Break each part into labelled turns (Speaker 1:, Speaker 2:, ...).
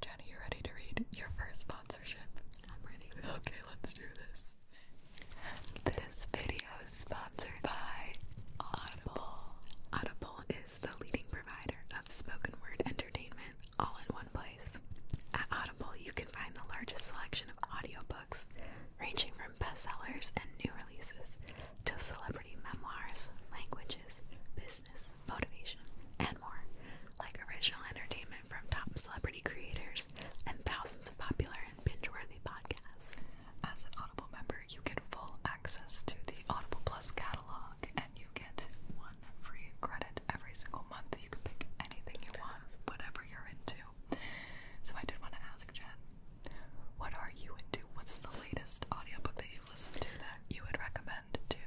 Speaker 1: Jenny, you ready to read your first sponsorship? I'm ready. Okay, let's do this. This video is sponsored by Audible. Audible is the leading provider of spoken word entertainment all in one place. At Audible, you can find the largest selection of audiobooks, ranging from bestsellers and new releases to celebrity memoirs, languages, business, motivation, and more, like original entertainment from top celebrity creators and thousands of popular and binge-worthy podcasts. As an Audible member, you get full access to the Audible Plus catalog, and you get one free credit every single month. You can pick anything you want, whatever you're into. So I did want to ask Jen, what are you into? What's the latest audiobook that you've listened to that you would recommend to?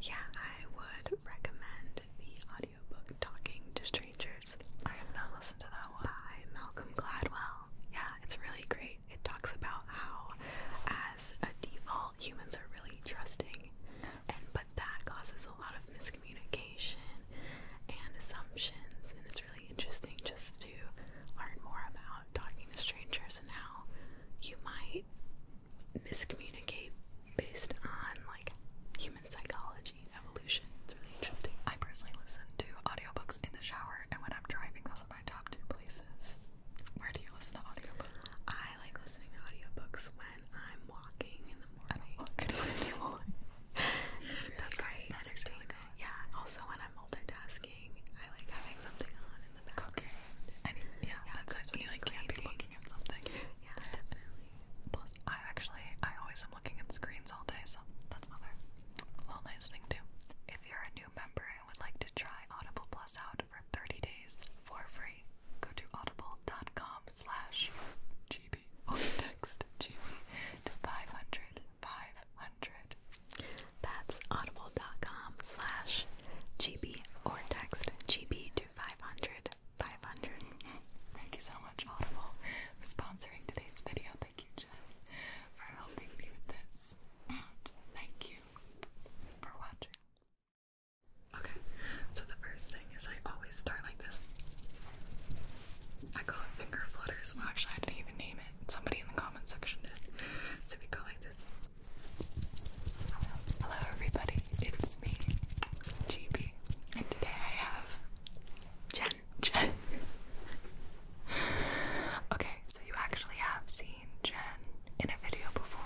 Speaker 1: Yeah, I would recommend the audiobook Talking to Strangers. I have not listened to that one. By Malcolm Gladwell. Yeah, it's really great. It talks about how as a default humans are really trusting and but that causes a lot of miscommunication and assumptions and it's really interesting just to learn more about talking to strangers and how you might miscommunicate based on like human psychology, evolution. It's really interesting. I personally listen to audiobooks in the shower and when I'm driving, those are my top two places. Where do you listen to audiobooks? I like listening to audiobooks when I'm walking in the morning. I don't walk anymore. That's great. That's really good. Yeah. Also when I'm multitasking. I like having something on in the background. Yeah, that's nice you like can't be looking at something. Yeah, definitely. Plus, I actually, I always am looking at screens all day, so that's another little nice thing too. If you're a new member and would like to try Audible Plus out for 30 days for free, go to audible.com slash GB oh, text GB to 500 500. That's audible.com slash GB or text GB to 500 500. Thank you so much, Audible, for sponsoring today's video. Thank you, Jen, for helping me with this. And thank you for watching. Okay, so the first thing is I always start like this. I call it finger flutters. Well, actually, I didn't even name it. Somebody in the comment section did. So we go like this. Hello everybody, it's me, GB, and today I have Jen. Jen. okay, so you actually have seen Jen in a video before.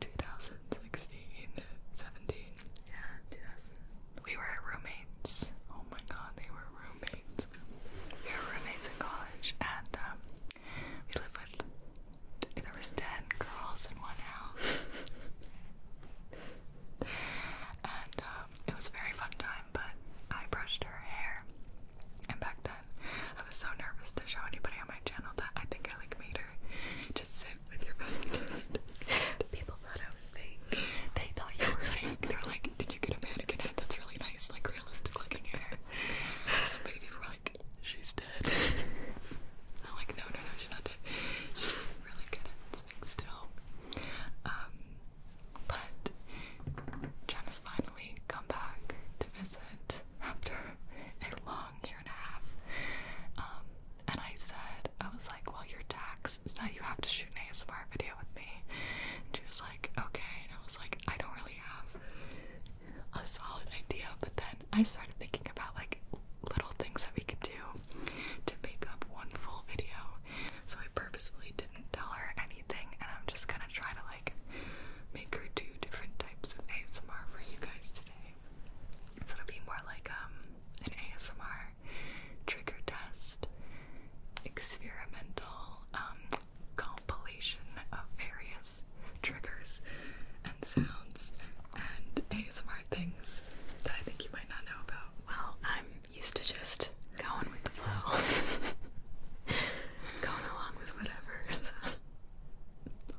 Speaker 1: 2016, Yeah, 2000. We were roommates. Oh my god, they were roommates. We were roommates in college, and um, we lived with there was ten girls in one house. and um, it was a very fun time, but I brushed her hair. And back then I was so nervous to show anybody on my channel that I think I like made her just sit with your back. People thought I was fake. They thought you were fake. They're like, did you get a mannequin head that's really nice, like realistic looking hair? Some people were she's dead. I'm like, no, no, no, she's not dead. She's really good at sitting still. Um, but Jenna's finally come back to visit after a long year and a half. Um, and I said, I was like, well, your tax is that you have to shoot an ASMR video with me. And she was like, okay. And I was like, I don't really have a solid idea, but then I started thinking about like little things that we could do to make up one full video. So I purposefully didn't tell her anything, and I'm just gonna try to like make her do different types of ASMR for you guys today. So it'll be more like um, an ASMR trigger test, experimental, um, compilation of various triggers and sounds and ASMR things that I think you might not know about. Well, I'm used to just going with the flow, going along with whatever.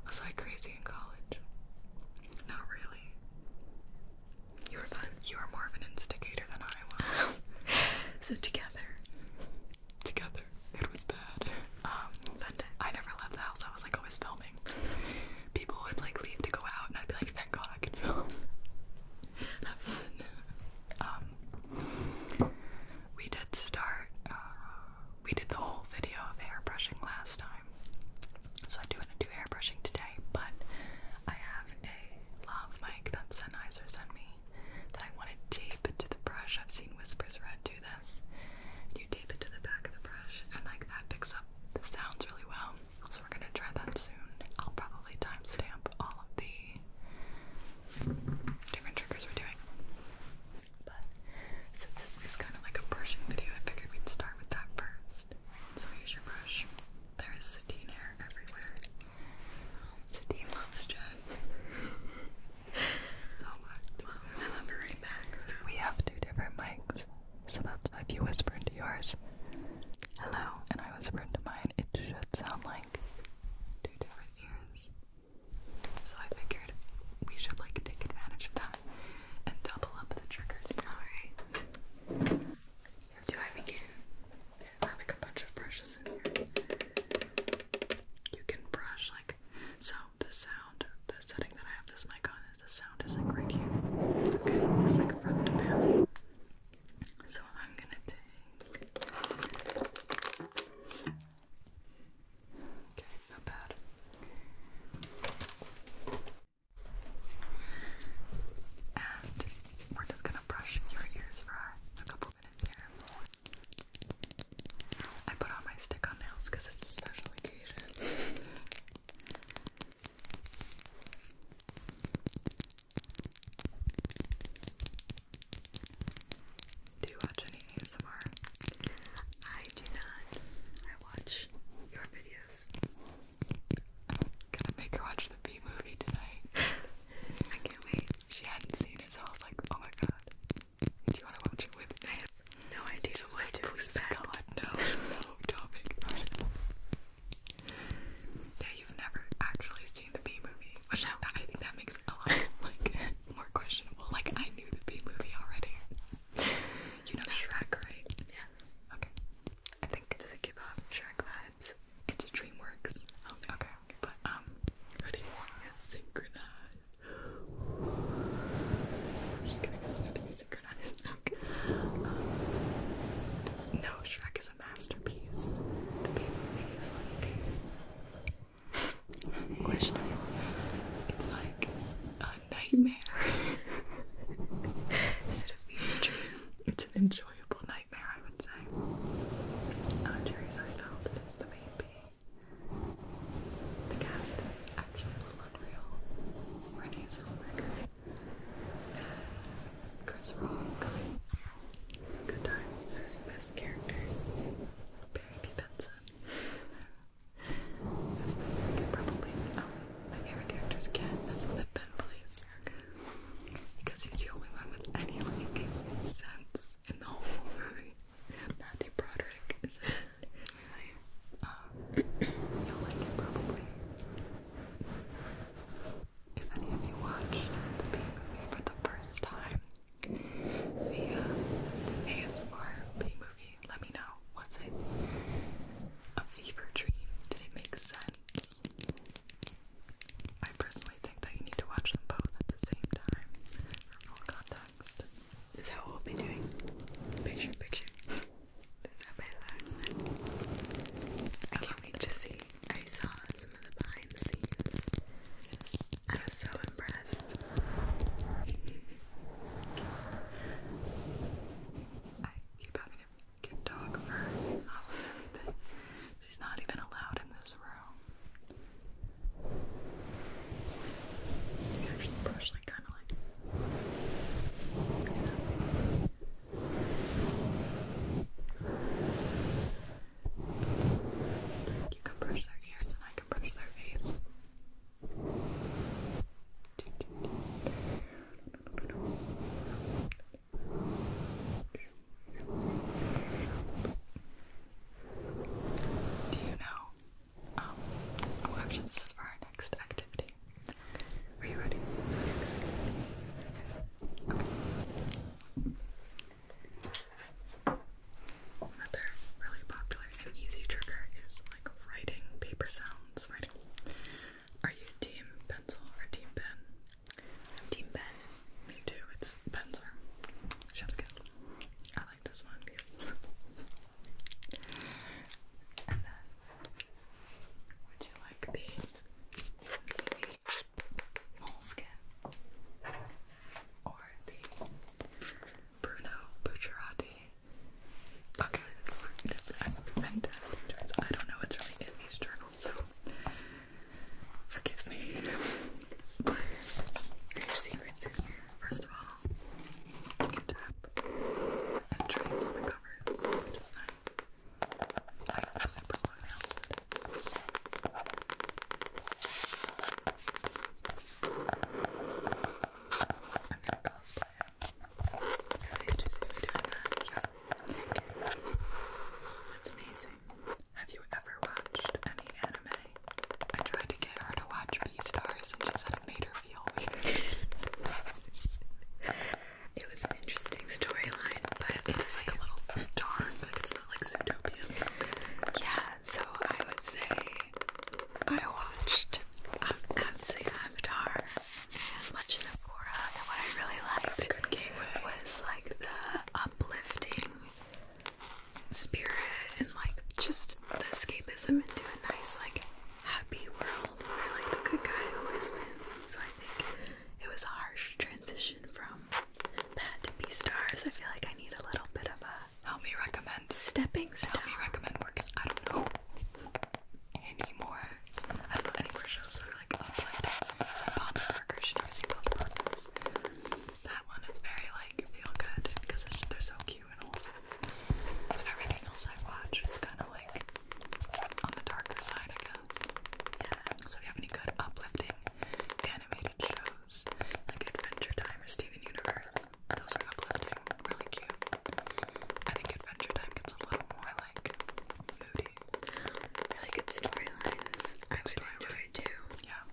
Speaker 1: Was I crazy in college? Not really. You were fun. You were more of an instigator than I was. so together, together. It was bad. Um, I never left the house. I was like always filming. People would like leave to go out, and I'd be like, "Thank God I can film." Have fun. Um, we did start. Uh, we did the whole video of airbrushing last time, so I do want to do airbrushing today. But I have a love mic that Sennheiser sent me, that I want to tape it to the brush. I've seen Whispers Red do this. You tape it to the back of the brush, and like that picks up the sounds really well. So we're gonna try that soon. I'll probably timestamp all of the different triggers we're doing. But since this is kind of like a brushing video, I figured we'd start with that first. So here's your brush. There is sateen hair everywhere. Sateen loves Jen so much. Well, We have two different mics, so that's why if you whisper into yours, hello, and I whisper into mine, it should sound like two different ears. So I figured we should like take advantage of that and double up the triggers. All right. Here's Do begin? I have a bunch of brushes in here. You can brush like so the sound, the setting that I have this mic on is the sound is not great here. Okay, it's like a front to back. So I'm gonna take Okay, not bad. And we're just gonna brush your ears for a couple minutes here. I put on my stick on nails because it's a special occasion. Do you watch any ASMR? I do not. I watch your videos. i to make her watch the B movie tonight. I can't wait. She hadn't seen it, so I was like, oh my god. Do you want to watch it with me? I no idea what to expect. no, no, do Yeah, you've never actually seen the B movie. I, think that makes it like more questionable. Like I knew the B movie already. You know Shrek, right? Yeah. Okay. I think does it give off Shrek vibes? It's DreamWorks. Okay. But um, ready? Synchronize just kidding, it's not to be synchronized. Um, no, Shrek is a masterpiece. The movie is like a nightmare. is it a fever It's an enjoyable nightmare, I would say. Uh, Jerry's is the main piece. The cast is actually unreal. Renee Zellweger uh, Chris Rock. Good time. Who's the best character? Barry Benson. That's my probably. Um, my favorite character is Ken. That's what I've been, please. Because he's the only one with any like sense in the whole movie. Matthew Broderick is it? you'll uh, like it probably. If any of you watched the B movie for the first time, the, uh, ASMR B movie, let me know. Was it a fever dream? Did it make sense? I personally think that you need to watch them both at the same time for full context. This is how we will be doing picture picture. This is how I I can't to see. I saw some of the behind the scenes. I was so impressed. I keep having to get dog fur off of everything. She's not even allowed in this room. You actually brush like kind of like. You can brush their ears and I can brush their face. Do you know um, oh, actually, this is for our next activity. Are you ready? Okay. Another really popular and easy trigger is like writing paper sounds. Writing. Are you team pencil or team pen? I'm team pen. Me too. It's pencil. Chef's good like this one would you like the, moleskin or the Bruno Bucciarati? Okay, this one I don't know what's really in these journals, so forgive me. But your secrets in here. First of all, you can tap and trace on the covers, which is nice. I have super long nails I'm gonna cosplay it. Did you see me doing that? Yes. It's amazing. Have you ever watched any anime I tried to get her to watch B-Stars and she said it made her feel weird. it was an interesting storyline, but it is like a little dark, like it's not like Zootopia. Yeah, so I would say I watched um, Avatar and Legend of Korra, and what I really liked was like the uplifting spirit and like just the escapism into a nice like happy world where like the good guy always wins. So I think it was a harsh transition from that to B stars. I feel like I need a little bit of a help me recommend stepping stone. Help me recommend work. I don't know anymore. I don't know any more shows that are like up like that. Is that Bob's Burgers? Should you ever see Bob's Burgers? That one is very like feel good because it's, they're so cute and also but everything else I watch is kinda like on the darker side So if you have any good uplifting animated shows like Adventure Time or Steven Universe, those are uplifting, really cute. I think Adventure Time gets a little more like moody. Really good storylines. I actually story enjoy too. Yeah.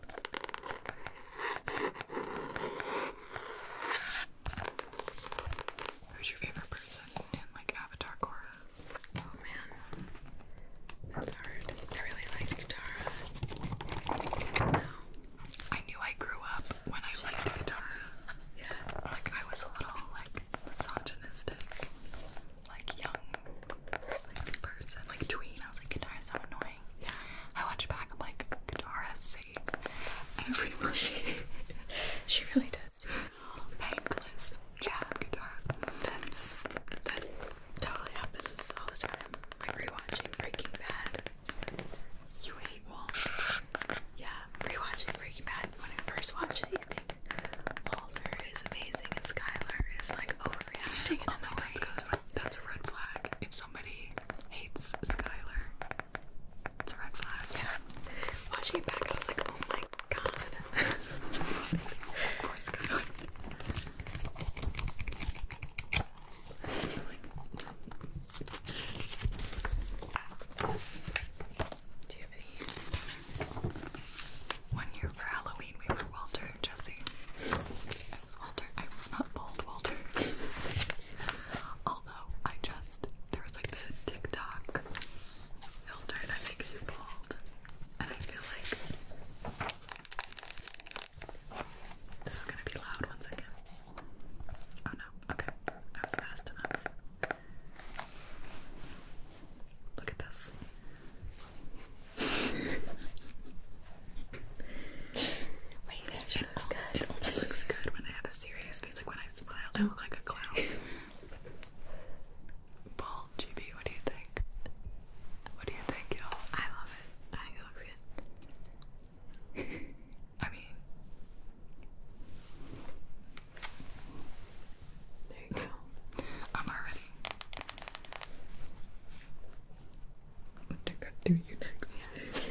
Speaker 1: Who's your favorite person in like Avatar Korra? Oh man, that's hard. I really liked Katara. I knew I grew up when I liked Katara. Yeah. Like I was a little like misogynistic, like young, like person, like tween. I was like Katara's so annoying thing. I watched back, I'm like, Katara saves everyone. She, she really does do Thankless job, Katara. That's, that totally happens all the time. Like rewatching Breaking Bad. You hate Walter. Yeah, rewatching Breaking Bad. When I first watch it, you think Walter is amazing and Skylar is like overreacting. Oh my god, that's a red flag. If somebody hates Skylar. It's a red flag. Yeah. Watching it back, I was like, oh my god. Poor Skylar. One year for Halloween, we were Walter, Jesse. Walter. I was not bald, Walter. Although I just there was like the TikTok filter that makes you bald, and I feel like this is gonna be loud. One second. Oh no. Okay, I was fast enough. Look at this. it looks good. It looks good when I have a serious face, like when I smile, I look like a clown. Bald GB, what do you think? What do you think, y'all? I love it. I think it looks good. I mean, there you go. I'm already what did God do next?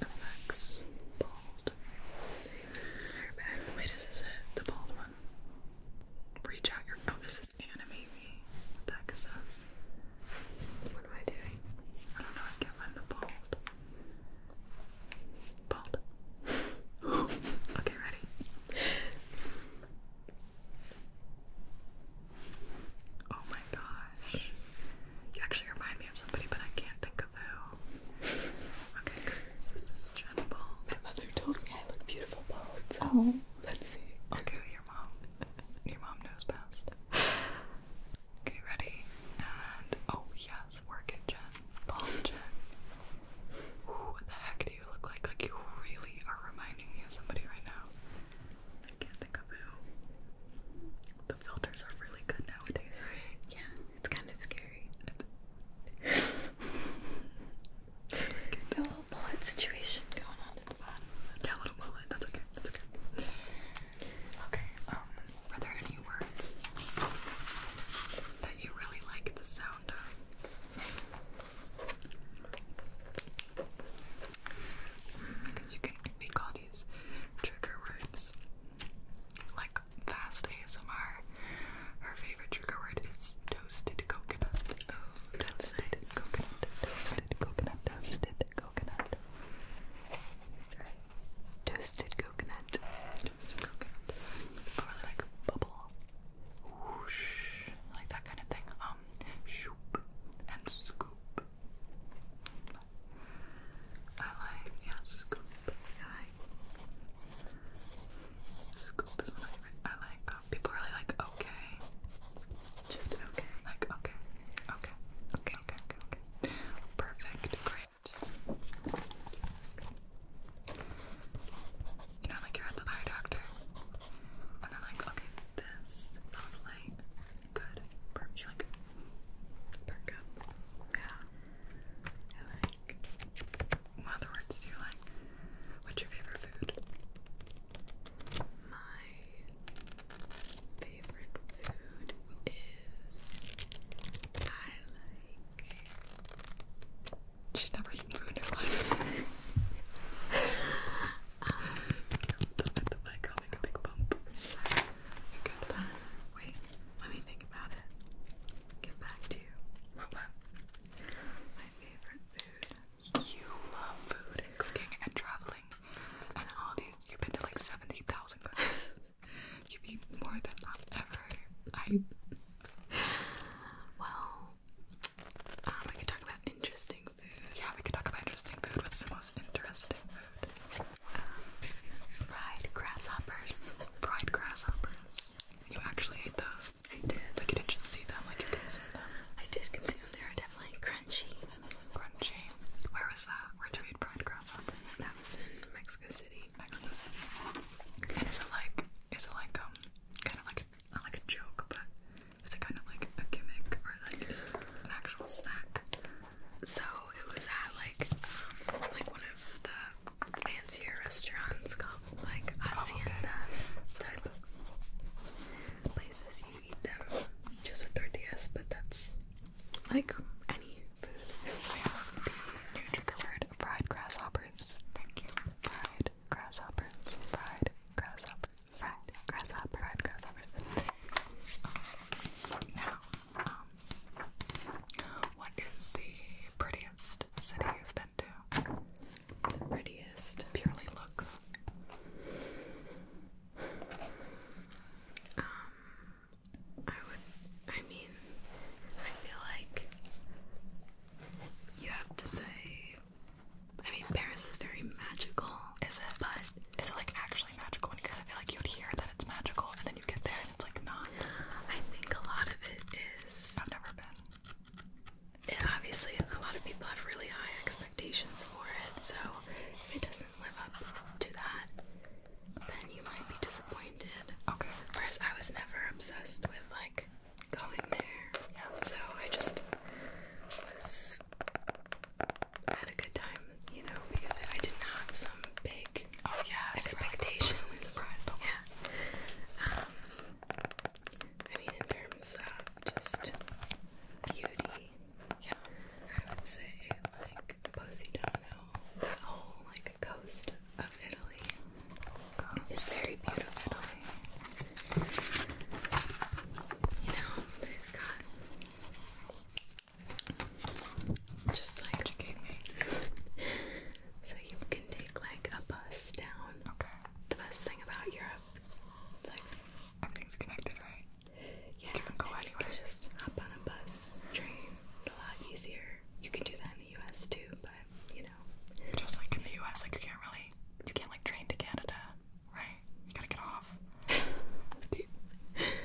Speaker 1: Effects bald. Sarah back. is it? The bald one. Reach out your oh this is anime me. What What am I doing? I don't know, I can't find the bald. Bald. okay, ready. Oh my gosh. You actually remind me of somebody, but I can't think of who. Okay, this is Jen My mother told me I look beautiful bald, oh. let's see. Okay, your mom. Your mom knows best. Okay, ready? And, oh yes, work it, Jen. Bald Jen. Who the heck you look like? Like you really are reminding me of somebody right now. I can't think of who. The filters are really good nowadays, Yeah, it's kind of scary. a little bullet situation going on Yeah, a little bullet. That's okay. That's okay. Okay. Um, were there any words that you really like the sound of? Because you can, we call these trigger words like fast ASMR. Her favorite trigger word is toasted coconut. Oh, toasted nice. coconut, toasted coconut, toasted coconut. Right. Toasted coconut. Toasted coconut. Or really like bubble. Whoosh. Like that kind of thing. Oh, um, and scoop. I like, yeah, scoop. I like, scoop is my favorite. I like, uh, people really like, okay. Just okay. Like, Okay. Okay, okay, okay, okay. Perfect, great. You know, like you're at the eye doctor and then like, okay, this found light. Good. Perk you like perk Yeah. And like what other words do you like? What's your favorite food? My favorite food is I like She's never eaten food in i make a big bump. Wait, let me think about it. Get back to you. My favorite food. You love food cooking and traveling and all these. You've been to like 70,000 countries. You've eaten more than I've ever. I. Well, we um, could talk about interesting food. Yeah, we could talk about interesting food. What's the most interesting food? Um, fried grasshoppers. Fried grasshoppers. You actually ate those. I did. Like you didn't just see them, like you consumed them. I did consume them. They were definitely crunchy. Crunchy. Where was that? Where did you eat fried grasshoppers? That was in Mexico City. Mexico City. is it like, is it like, um, kind of like not like a joke, but is kind of like a gimmick or like an actual snack? So it was at like um, like one of the fancier restaurants called like haciendas oh, okay. type of places you eat them just with tortillas, but that's like any food. So we have fried grasshoppers. Thank you. Fried grasshoppers. Fried grasshoppers fried grasshopper. Fried grasshoppers. Now, um, what is the prettiest city you've been to? prettiest. Purely looks. Um, I would, I mean, I feel like you have to say I mean, Paris is very magical. Is it? But is it like actually magical? And you kind of feel like you'd hear that it's magical, and then you get there and it's like not. I think a lot of it is. I've never been. It obviously, a lot of people have really high expectations for it. So if it doesn't live up to that, then you might be disappointed. Okay. Whereas I was never obsessed with like going there. Yeah. So I just was I had a good time, you know, because I, didn't have some big oh yeah expectations. I was surprised. Yeah. Um, I mean, in terms of just beauty, yeah, I would say like Positano, the whole like coast of Italy. It's very beautiful. You know, they've got just like so you can take like a bus down. Okay. The best thing about Europe is like everything's connected, right? Yeah. You can go anywhere. You can just hop on a bus, train, a lot easier. You can do that in the US too, but you know. Just like in the US, like you can't really you can't like train to Canada. Right? You gotta get off.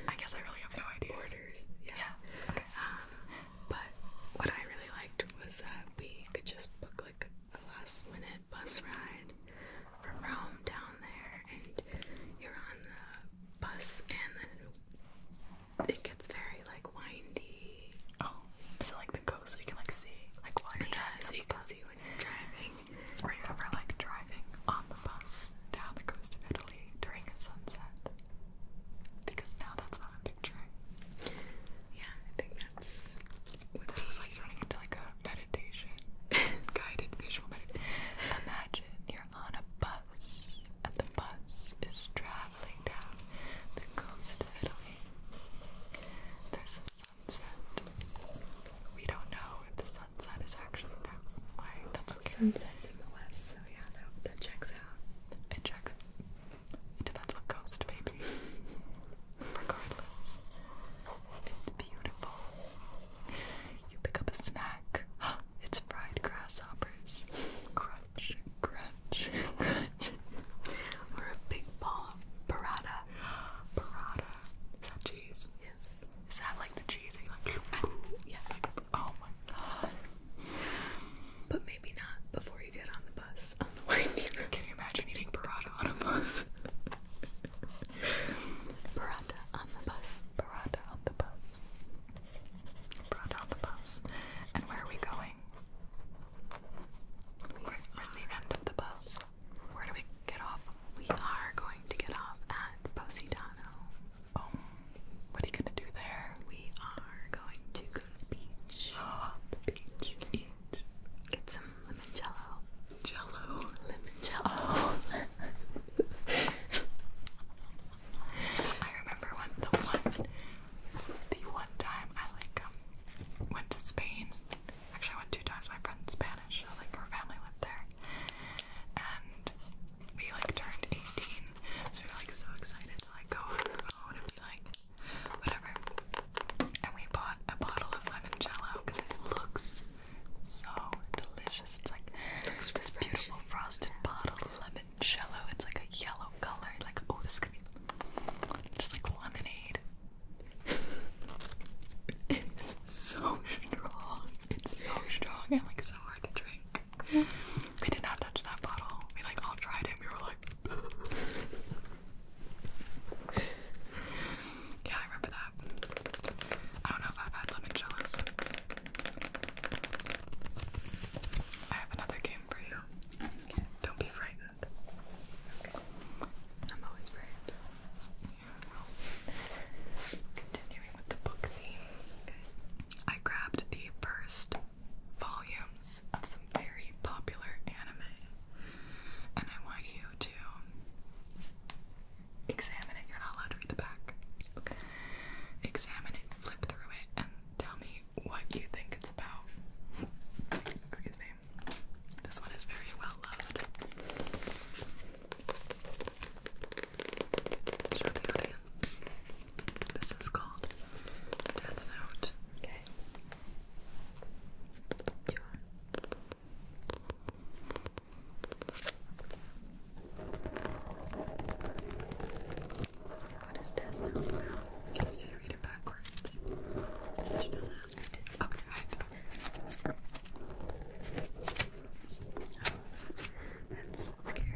Speaker 1: I guess I really have no idea. Orders. Yeah. Okay. Um, but what I really liked was that we could just book like a last minute bus ride from Rome down there, and you're on the bus, and then it gets very like windy. Oh, is it like the coast so you can like see like water. yeah, driving? Yeah, so when you're driving. Were you ever like driving on the bus down the coast of Italy during a sunset? Because now that's what I'm picturing. Yeah, I think that's this is like turning into like a meditation. Guided visual Imagine you're on a bus and the bus is traveling down the coast of Italy. There's sunset. We don't know if the sunset is actually that way. That's okay. Sunset in the west, so yeah, that, that checks out. It checks. It depends what coast, baby. Regardless, it's beautiful. You pick up a snack. It's fried grasshoppers. Crunch, crunch, crunch. Or a big ball of burrata. Parada. Is that cheese? Yes. Is that like the cheese? Like, yes. Like, oh my god. But maybe not before you get on the bus on the way to Can you imagine eating parada on a bus? parada on the bus. Parada on the bus. Parada on the bus. And where are we going? Where's the end of the bus? Where do we get off? We are going to get off at Poseidano. Oh, what are you gonna do there? We are going to go to the beach. the beach. Eat. Get some lemon jello. Jello. I remember when the one, the one time I like um, went to Spain Actually, I went two times. My friend's Spanish, like her family lived there, and we like turned 18, so we were like so excited to like go on our own and be like whatever. And we bought a bottle of lemon jello because it looks so delicious. It's like looks this beautiful frosted bottle lemon jello. It's like a yellow color. Like oh, this could be just like lemonade it's so strong. It's so strong and like so hard to drink. We did not touch that bottle. We like all tried it. We were like Yeah, I remember that. I don't know if I've had limoncello since. I have another game for you. Don't be frightened. I'm always frightened. Continuing with the book theme, I grabbed the first volumes of some very popular anime, and I want you to examine it. You're not allowed to read the back. Examine it, flip through it, and tell me what you think it's about. Excuse me. This one is very well loved. Show the audience. This is called Death Note. Okay. You What is Death Note Can you read it backwards? Did you know that? Okay, I that's scary.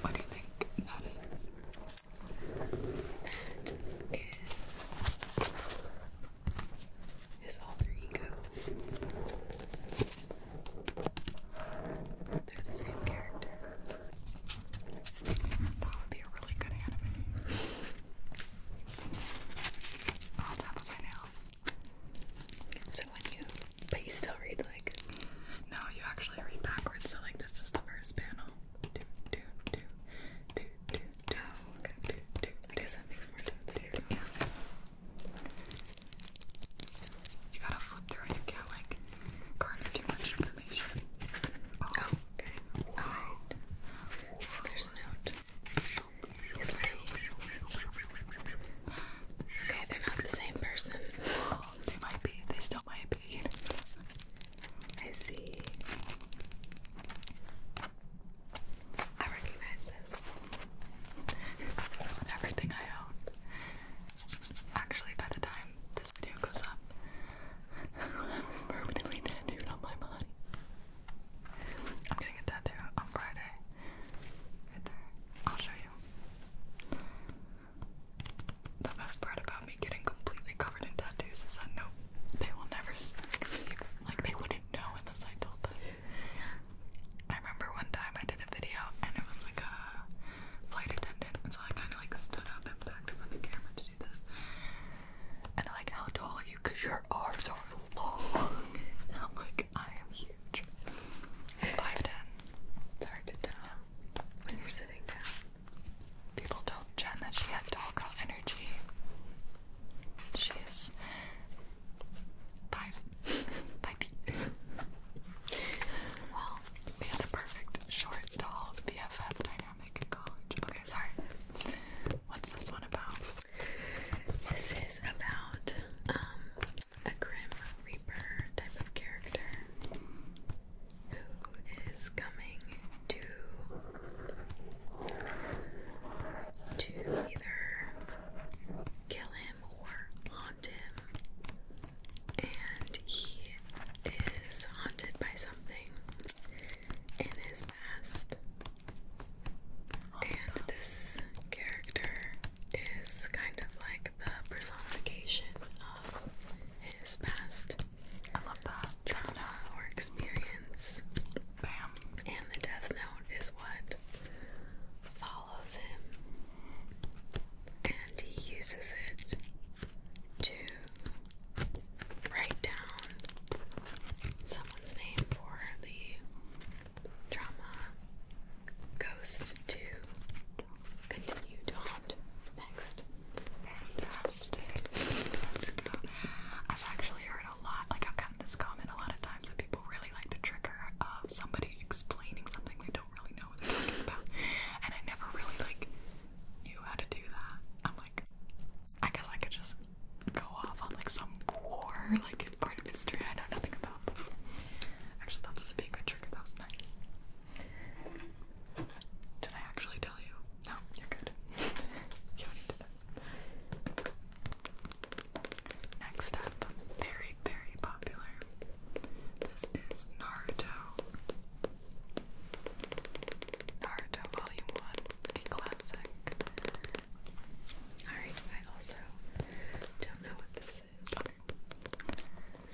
Speaker 1: What do you think that is? That is his alter ego. They're the same character. That would be a really good anime. On top of my nails. So when you, but you still read like. No, you actually read backwards. So like this is the first panel. Do do do do do do. Oh, I guess that makes more sense. yeah. You gotta flip through it. You can't like garner too much. Oh, okay. Alright. So there's a note. okay, they're not the same person. they might be. They still might be. I see. I recognize this. Everything I own. Actually, by the time this video goes up, this permanently tattooed on my body. I'm getting a tattoo on Friday. Right there. I'll show you. The best part about me getting completely covered in tattoos is that no, they will never see. Like, they wouldn't know unless I told them. I remember one time I did a video and it was like a flight attendant, so I kind of like stood up and backed up on the camera to do this. And like how tall are you? Cause your arms are long. And i like, I am huge. Five ten. It's hard to tell when you're sitting down. People told Jen that she had tall girl energy. She is five. five feet. Well, we have the perfect short, tall BFF Okay, sorry. What's this one about? This is about um, a grim reaper type of character who is coming to to either kill him or haunt him, and he is haunted by some something in his past. Oh and this character is kind of like the personification of his past. I love Trauma or experience. Bam. And the death note is what follows him. And he uses it to write down someone's name for the drama Ghost to continue to haunt next. Fantastic. Let's go. I've actually heard a lot, like I've gotten this comment a lot of times that people really like the trigger of somebody explaining something they don't really know what they're talking about. And I never really like knew how to do that. I'm like, I guess I could just go off on like some war, like part of history I know nothing about. But actually, that's a speaker trigger. That was nice. Did I actually tell you? No, you're good. you don't Next up, very, very popular. This is Naruto Naruto Volume 1, classic. Alright, I also don't know what this is.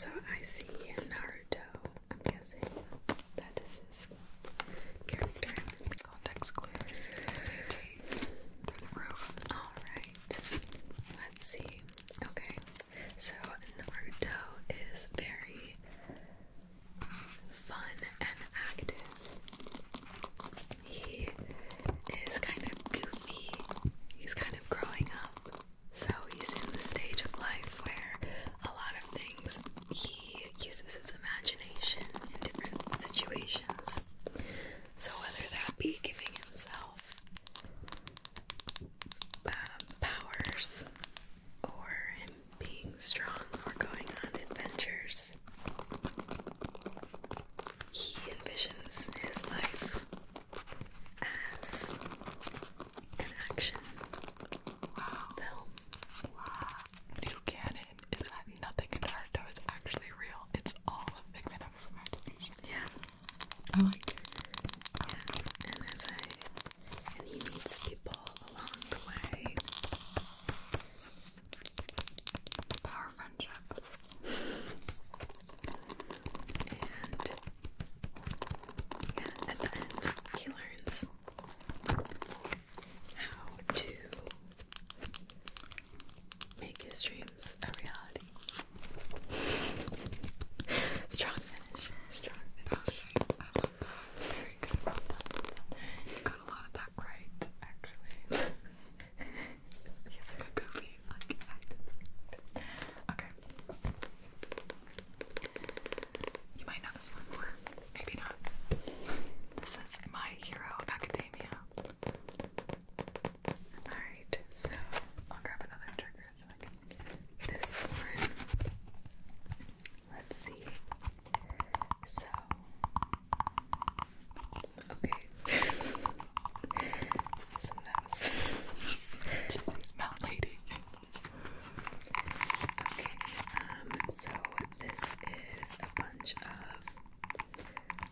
Speaker 1: So I see Naruto. I'm guessing that is his character. Context clues. Alright. Let's see. Okay. So Naruto is very fun and active. He is kind of goofy. He's kind of growing up. So he's in the stage of life where a lot of things he uses his imagination in different situations. So whether that be giving himself um, powers or being strong or going on adventures. He envisions his life as an action film. Wow. Neil Cannon is that nothing in art that actually real. It's all a figment of his Yeah. I like and he meets people along the way. power of And yeah, at the end, he learns how to make his dreams a reality. strong finish. Strong finish. I love that. You got a lot of that right, actually. He's like a goofy, like active. Okay. You might know this one more. Maybe not. This is My Hero Academia. Alright, so I'll grab another trigger so I can this one. Let's see. So, okay. It's a mess. She's lady. Okay, um, so this is a bunch of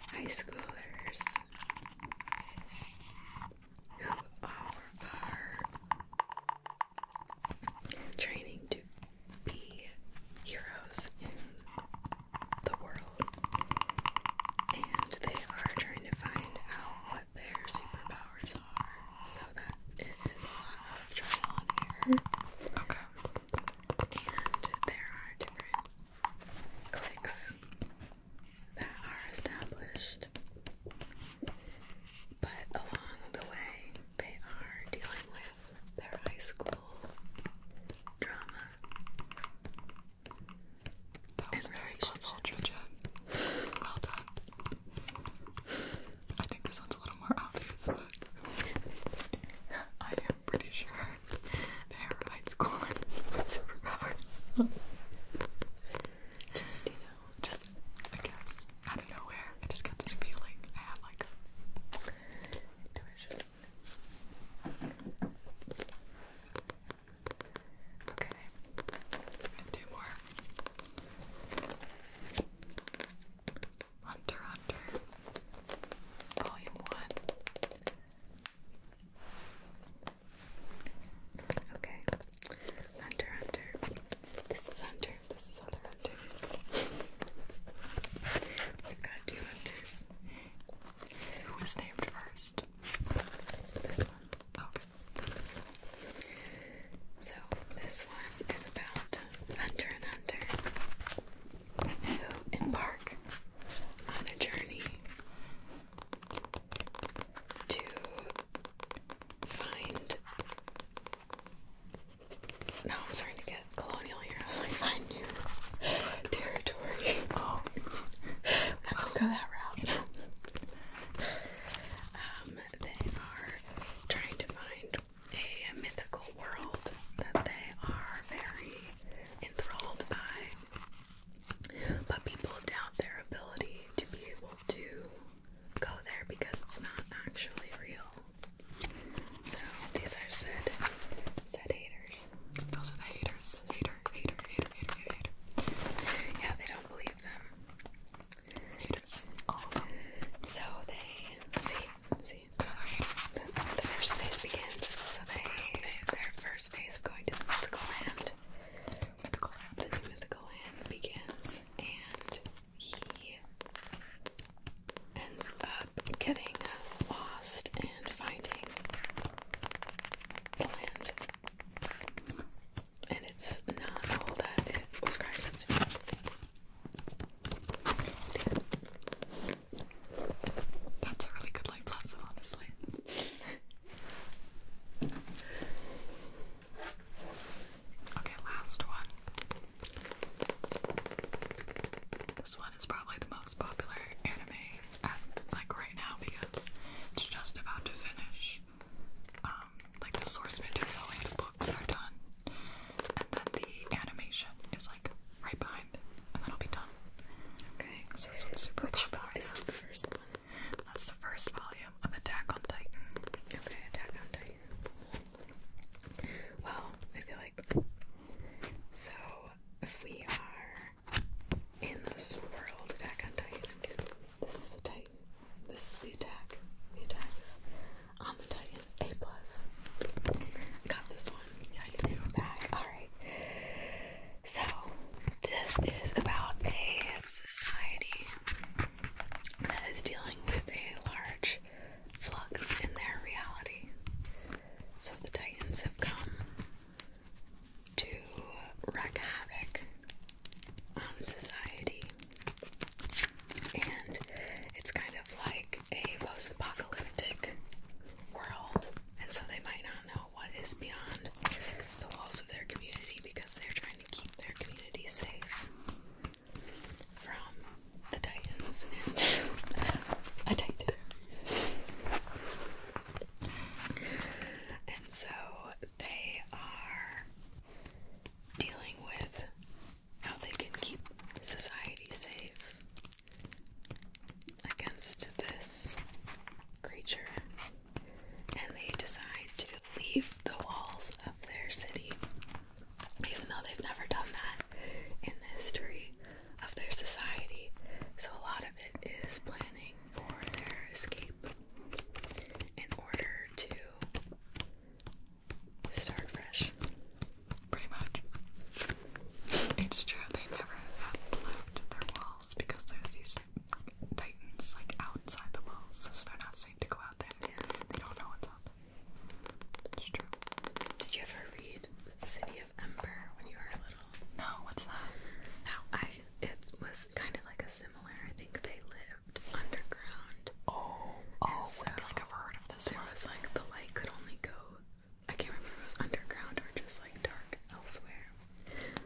Speaker 1: high schoolers who are training to be heroes in the world, and they are trying to find out what their superpowers are. So that it is a lot of trial and error. And there are different cliques that are established but along the way, they are dealing with their high school drama. That was very puzzle, Georgette. Well done. I think this one's a little more obvious, but I am pretty sure they are high schoolers with superpowers. Just just I guess out of nowhere, I just got this feeling I had like intuition. Okay, two more. Hunter Hunter, Volume One. Okay, Hunter Hunter. This is Hunter. This is other Hunter. We've got two Hunters. Who was named first? This one. Okay. So this one is about Hunter and Hunter who embark on a journey to find no, I'm starting to get colonial here. I was like, find new territory. Oh. i will going go that route. um, they are trying to find a mythical world that they are very enthralled by. But people doubt their ability to be able to go there because it's not actually real. So these are said said haters. Those are the haters. Hater, hater, hater, hater, hater, Yeah, they don't believe them. Haters. All So they see see The, first phase begins. So they first their first phase of going to the mythical land. The mythical land begins and he ends up getting lost and finding the land. And it's not all that it was cracked That's a really good life lesson, honestly. Okay, last one. This one is probably the most popular anime at like right now because it's just about to finish. Um, like the source material, like the books are done, and then the animation is like right behind, and then that'll be done. Okay, so this one's Which popular. Is the first one? That's the first volume of Attack on Titan. Okay, Attack on Titan. Well, I feel like so if we are in this world attack on Titan, this is the Titan. This is the attack. The attack is on the Titan. A plus. Got this one. Yeah, I can back. Alright. So this is about a society that is dealing with a large flux in their reality. So the Titans have come to wreak havoc on society. And it's kind of like a post apocalyptic world. And so they might not know what is beyond the walls of their community because they're trying to keep their community safe from the Titans and a Titan. and so they are dealing with how they can keep society safe against this creature. And they decide to leave the walls of their city even though they've never done that in the history of their society. So, a lot of it is planning for their escape in order to start fresh. Pretty much. It's true, they never have left their walls because there's these titans like outside the walls, so they're not safe to go out there. They don't know what's did you ever read City of Ember when you were little? No, what's that? No, I it was kind of like a similar. I think they lived underground. Oh, oh, I feel like I've heard of this. There one. was like the light could only go. I can't remember it was underground or just like dark elsewhere.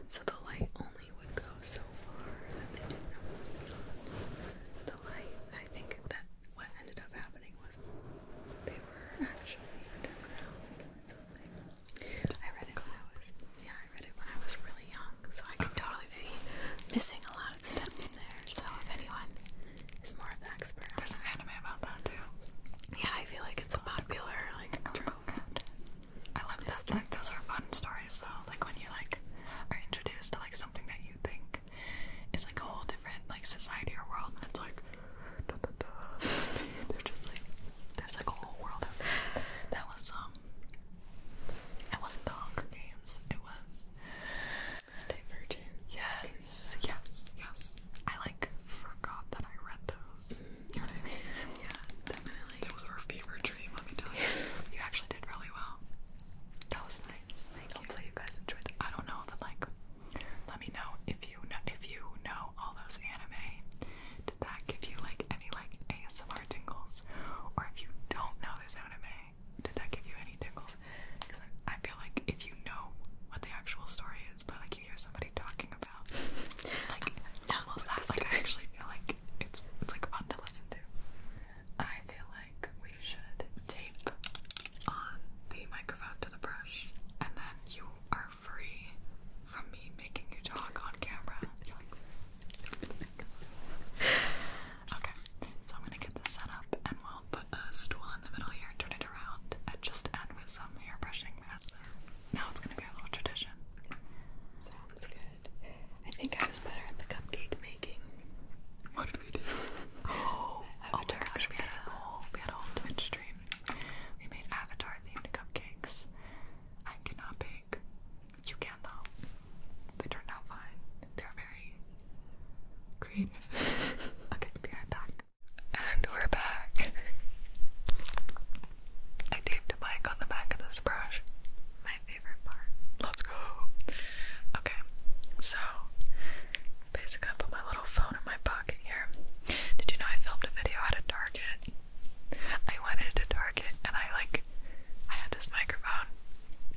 Speaker 1: So the light only would go so far that they didn't know what was beyond the I think that what ended up happening was they were actually underground or something. I read it when I was yeah, I read it when I was really young, so I could totally be missing a lot of steps there. So if anyone is more of the expert, there's an anime about that too. Yeah, I feel like it's a like trope. I love that. those are fun stories though. Like when you like are introduced to like something that you think like it's like a whole different like society or world and it's like da, da, da. they're just like there's like a whole world out there. That was um it wasn't the Hunger Games, it was Divergent. Yes, yes, yes. I like forgot that I read those. You know what I mean? Yeah, definitely. That was our favorite dream, let me tell you. You actually did really well. That was nice. Hopefully you. guys enjoyed I don't know, but like let me know if you know if you know all those anime. Did that give you like any like ASMR tingles? Or if you don't know this anime, did that give you any tingles? Because I, feel like if you know what the actual story is, but like you hear somebody talking about like no, almost that, like I actually feel like it's it's like fun to listen to. I feel like we should tape on the microphone to the brush, and then you are free from me making you talk on camera. okay, so I'm gonna get this set up, and we'll put a stool in the middle here, turn it around, and just end with some hair brushing mess. Now it's gonna be a little tradition. Sounds good. I think I was better at the cupcake making. What food. Oh, oh my gosh, we had, a whole, we had a whole Twitch stream. We made avatar themed cupcakes. I cannot bake. You can though. They turned out fine. They're very creative. okay, be right back. And we're back. I taped a mic on the back of this brush. My Let's go. Okay, so basically, I put my little phone in my pocket here. Did you know I filmed a video at Target? I went into Target and I like, I had this microphone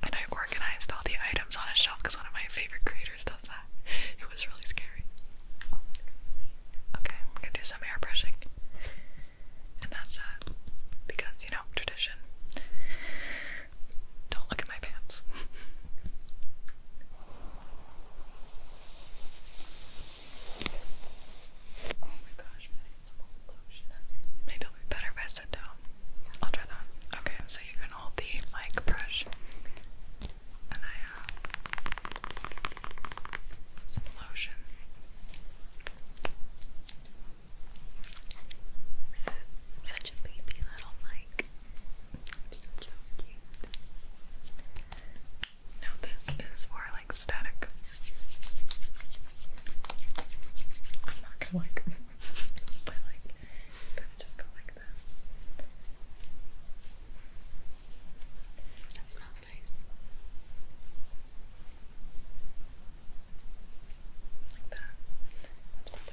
Speaker 1: and I organized all the items on a shelf because one of my favorite creators does that. It was really scary. Okay, I'm gonna do some airbrushing. And that's Because, you know, tradition. Don't look at my pants. oh my gosh, man, I will be better if I sit down. I'll try that. Okay, so you can hold the mic brush. And I have some lotion. Such a baby little mic. Just so cute. Now this is more like static. I'm not gonna like but like kinda just go like this. That smells nice. Like that. That's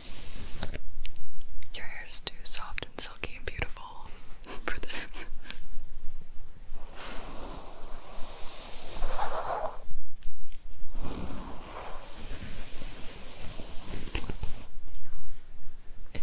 Speaker 1: Your hair is too soft and silky and beautiful It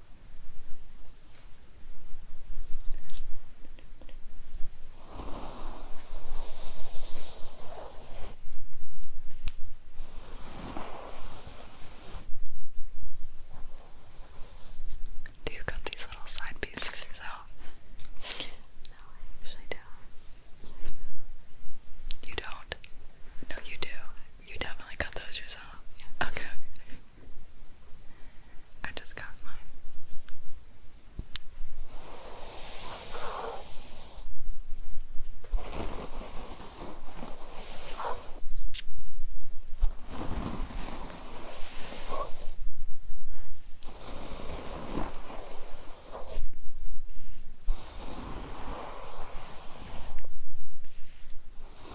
Speaker 1: Do you cut these little side pieces yourself? No, I actually don't. You don't? No, you do. You definitely cut those yourself. Okay. I just got mine.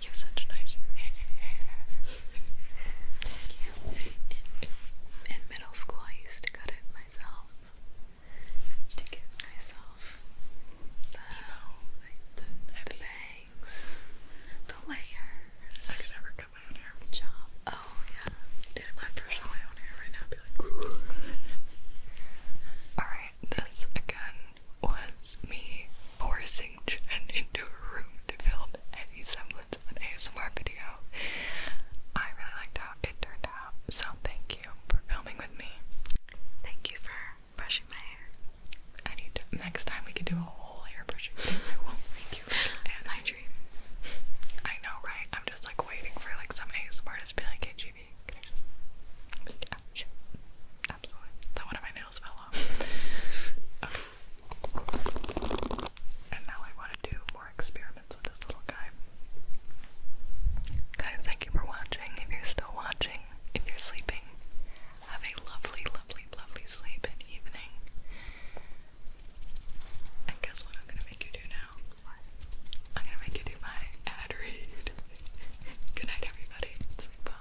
Speaker 1: You have such nice Thank you. In, middle school, I used to cut it myself to give myself the, the, bangs, the layers. Oh yeah. Dude, I brushed my own hair right now, be like Alright, this again was me forcing Jen into a room to film any semblance of an ASMR video. I really liked how it turned out, so thank you for filming with me. Thank you for brushing my hair. I need to next time we could do a whole I know, right? I'm just like waiting for like some ASMR artist to be like, hey, yeah, Absolutely. That one of my nails fell off. And now I want to do more experiments with this little guy. Guys, thank you for watching. If you're still watching, if you're sleeping, have a lovely, lovely, lovely sleep and evening. I guess what I'm gonna make you do now? I'm gonna make you do my ad read. Good night, everybody. Sleep well.